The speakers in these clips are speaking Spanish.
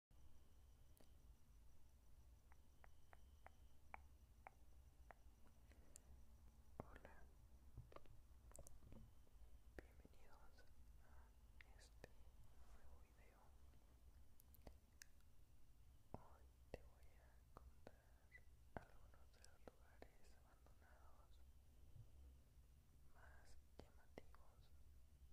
Hola, bienvenidos a este nuevo video. Hoy te voy a contar algunos de los lugares abandonados más llamativos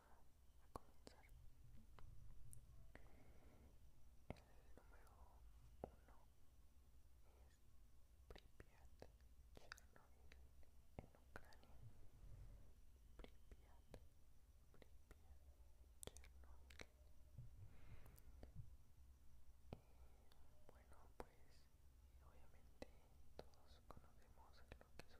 a comenzar. El número uno es Pripyat, Chernobyl en Ucrania. Pripyat, Pripyat, Chernobyl. bueno, pues obviamente todos conocemos lo que sucede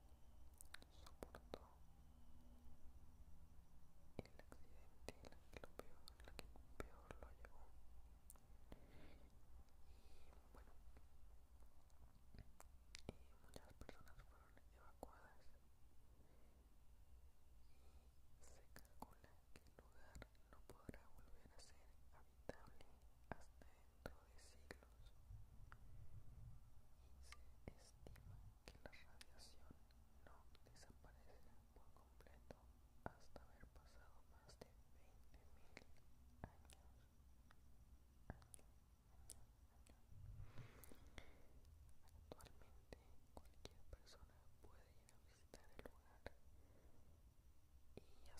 soportó el accidente lo peor, que peor lo llevó y bueno muchas personas fueron evacuadas y se calcula que el lugar no podrá volver a ser habitable hasta dentro de siglos y se estima que la radiación no desaparecerá por completo hasta haber pasado más de 20.000 años. Actualmente cualquier persona puede ir a visitar el lugar y hacer un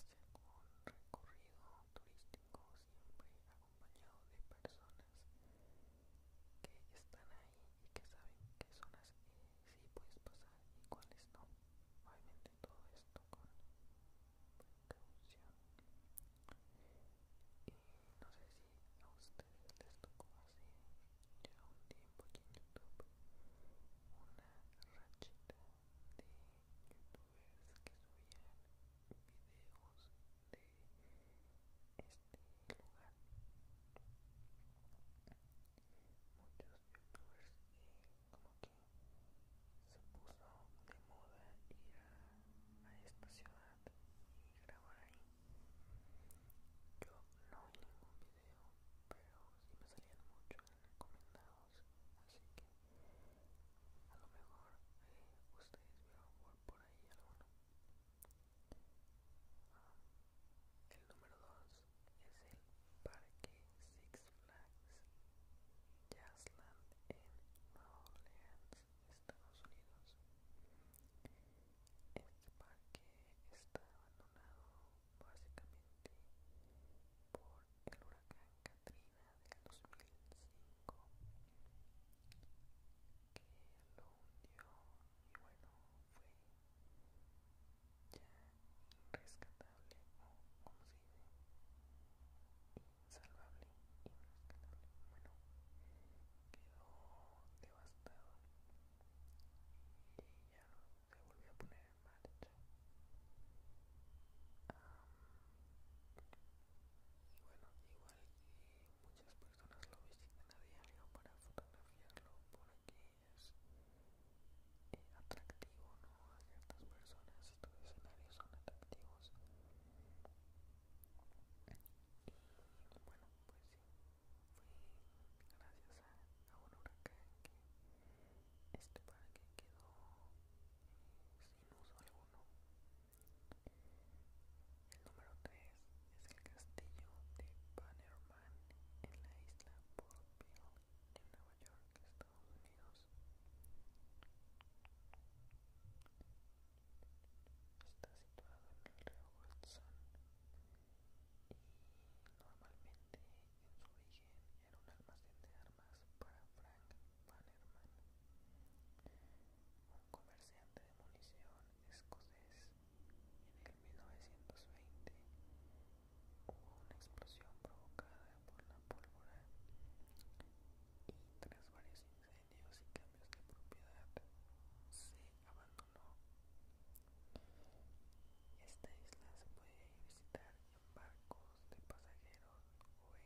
recorrido turístico siempre acompañado de personas que están ahí y que saben qué zonas las eh, sí puedes pasar y cuáles no. Obviamente todo esto con precaución. Y no sé si a ustedes les tocó así ya un tiempo aquí en YouTube una rachita de youtubers que subían videos de este lugar. Muchos youtubers como que se puso de moda ir a, esta ciudad y grabar ahí. Yo no vi ningún video, pero sí me salían muchos recomendados, así que a lo mejor eh, ustedes vieron por ahí alguno. El número 2 es el Parque Six Flags Jazzland en Nueva Orleans, Estados Unidos. Este parque está abandonado básicamente por el huracán Katrina del 2005 lo hundió y bueno, fue ya Rescatable o como se dice, insalvable, rescatable. bueno, quedó devastado y ya se volvió a poner mal marcha. y bueno, igual muchas personas lo visitan a diario para fotografiarlo porque es eh, atractivo, ¿no? A ciertas personas estos escenarios son atractivos. Y bueno, pues sí, gracias a, un huracán que este quedó eh, sin uso alguno. El número 3 es el castillo de Bannerman en la isla Portville en Nueva York, Estados Unidos. Está situado en el río Hudson y normalmente en su origen era un almacén de armas para Frank Bannerman. Un comerciante de munición escocés, en el 1920 hubo una explosión provocada por la pólvora y tras varios incendios y cambios de propiedad se abandonó. Esta isla se puede visitar en barcos de pasajeros o en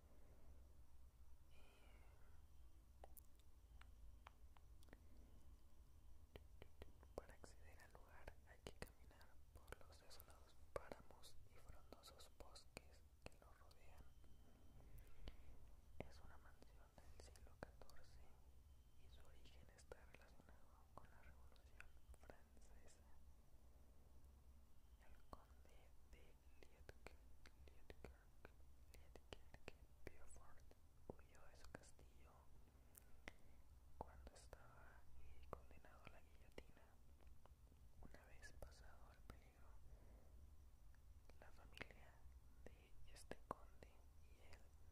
Para acceder al lugar hay que caminar por los desolados páramos y frondosos bosques que lo rodean. Es una mansión del siglo XIV y su origen está relacionado con la Revolución Francesa. El conde de Liedkerke Beaufort huyó a su castillo cuando estaba condenado a la guillotina. Una vez pasado el peligro, la familia de este conde y él decidieron asentarse en la zona y construyeron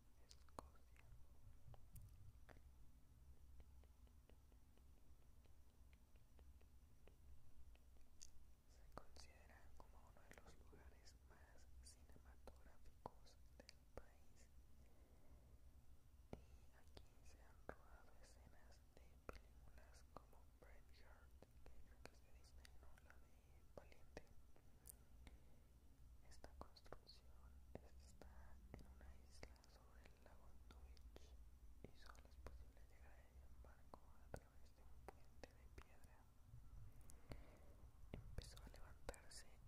se considera como uno de los lugares más cinematográficos del país y aquí se han rodado escenas de películas como Braveheart que creo que es de Disney la de Valiente esta construcción está en una isla sobre el lago Twitch y solo es posible llegar a ella en barco a través de un puente de piedra. Empezó a levantarse en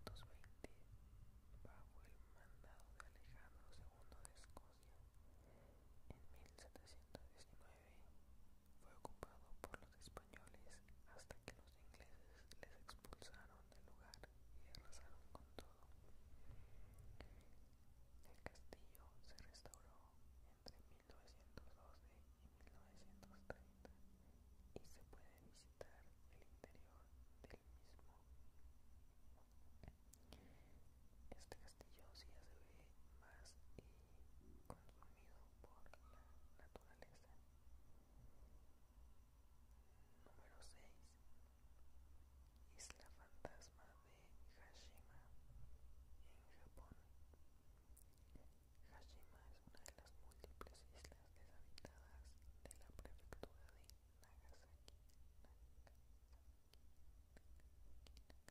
1220 bajo el mandado de Alejandro II de Escocia. En 1719 fue ocupado por españoles hasta que los ingleses les expulsaron del lugar y arrasaron con todo. El castillo se restauró entre 1912 y 1930 y se puede visitar el interior del mismo. Este castillo sí ya se ve más y consumido por la naturaleza. Número 6. Isla fantasma de Hashima en Japón. Hashima es una de las múltiples islas deshabitadas de la prefectura de Nagasaki. Eh, Hashima fue poblada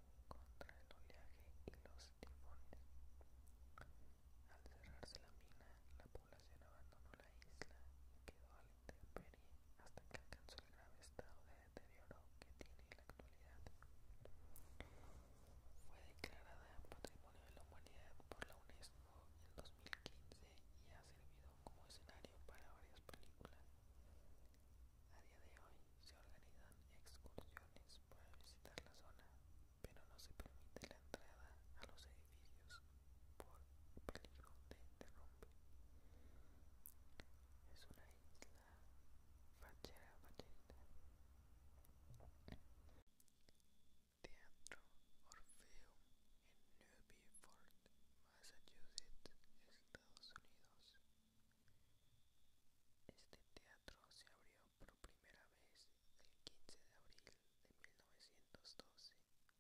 contra el oleaje y los tifones. Al cerrarse la mina, la población abandonó la isla y quedó al la hasta que alcanzó el grave estado de deterioro que tiene en la actualidad. Fue declarada Patrimonio de la Humanidad por la UNESCO en 2015 y ha servido como escenario para varias películas, a día de hoy se organizan excursiones para visitar la zona, pero no se permite la entrada a los edificios por peligro de derrumbe. Es una isla fachera facherita. Teatro Orfeo en Newburyport, Massachusetts, Estados Unidos. Este teatro se abrió por primera vez el 15 de abril de 1912 y se convirtió en ese tiempo en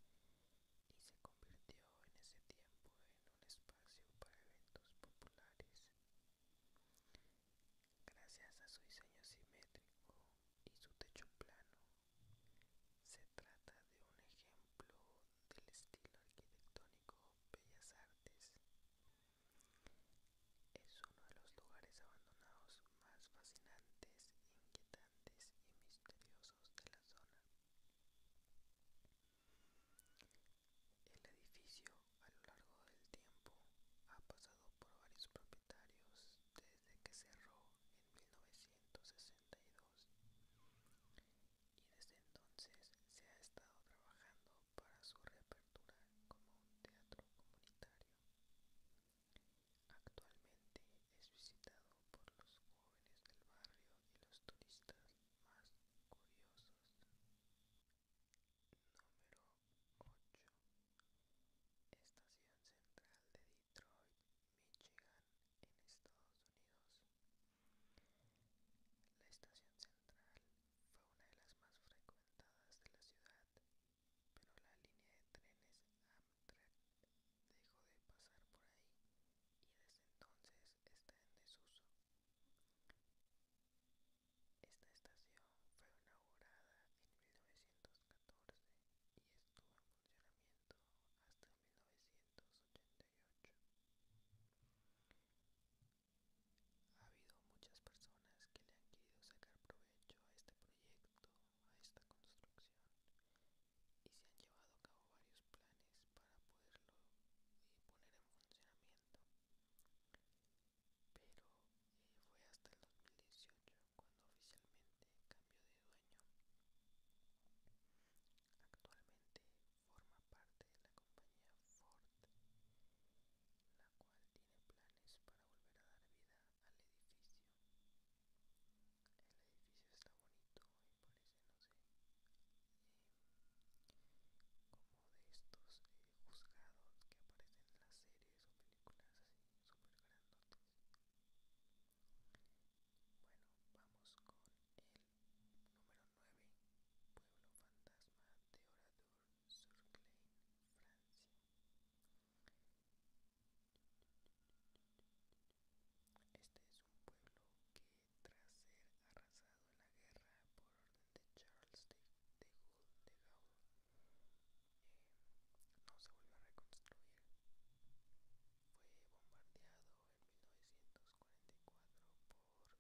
un espacio para eventos populares. Gracias a su diseño simétrico y su techo plano, se trata de un ejemplo del estilo arquitectónico Bellas Artes es uno de los lugares abandonados más fascinantes, inquietantes y misteriosos de la zona. El edificio a lo largo del tiempo ha pasado por varios propietarios desde que cerró en 1962 y desde entonces se ha estado trabajando para su reapertura como un teatro comunitario. Actualmente es visitado por los jóvenes del barrio y los turistas más curiosos. Número 8. Estación Central de Detroit, Michigan, en Estados Unidos. La estación central fue una de las más frecuentadas de la ciudad, pero la línea de trenes Amtrak dejó de pasar por ahí y desde entonces está en desuso. Esta estación fue inaugurada en 1914 y estuvo en funcionamiento hasta 1988. Ha habido muchas personas que le han querido sacar provecho a este proyecto, a esta construcción, y se han llevado a cabo varios planes para poderlo eh, poner en funcionamiento. Pero eh, fue hasta el 2018 cuando oficialmente cambió de dueño. Actualmente forma parte de la compañía Ford, la cual tiene planes para volver a dar vida al edificio. El edificio está bonito y parece, no sé, eh, como de estos eh, juzgados que aparecen en las series o películas así, súper grandotes. Bueno, vamos con el Número 9. Pueblo fantasma de Oradour sur Francia. Este es un pueblo que tras ser arrasado en la guerra por orden de Charles de, Gaulle, eh, no se volvió a reconstruir. Fue bombardeado en 1944 por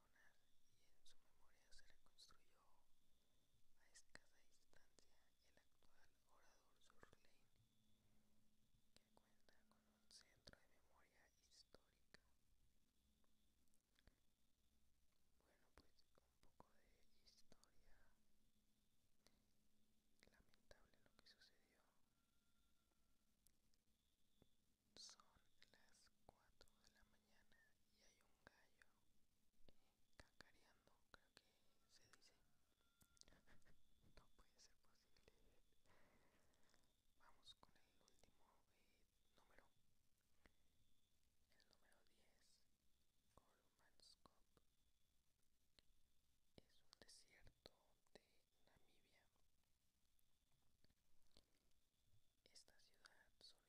y en su memoria se reconstruyó a escasa distancia el actual orador Surlane, que cuenta con un centro de memoria histórica. Bueno, pues un poco de historia. Lamentable lo que sucedió. Son las 4 de la mañana y hay un un gallo creo que se dice. no puede ser posible. Vamos con el último eh, número. El número 10, Golmanscope. Es un desierto de Namibia. Esta ciudad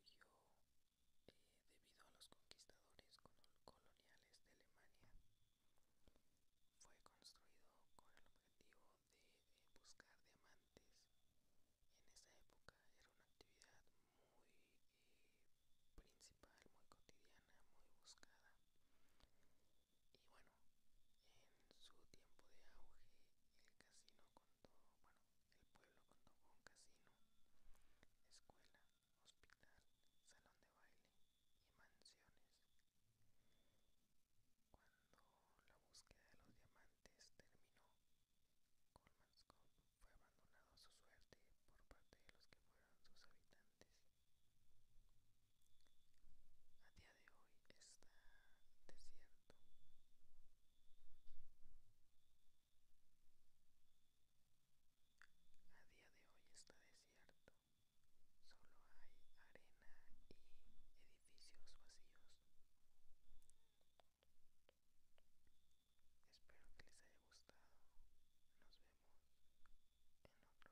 surgió debido a los conquistadores coloniales de Alemania. Fue construido con el objetivo de eh, buscar diamantes. En esa época era una actividad muy eh, principal, muy cotidiana, muy buscada. Y bueno, en su tiempo de auge el casino contó, bueno, el pueblo contó con casino, escuela, hospital, salón de baile y mansiones. Cuando la búsqueda de los diamantes terminó, Scott fue abandonado a su suerte por parte de los que fueron sus habitantes. A día de hoy está desierto. A día de hoy está desierto, solo hay arena y edificios vacíos. Espero que les haya gustado. Nos vemos en otro video.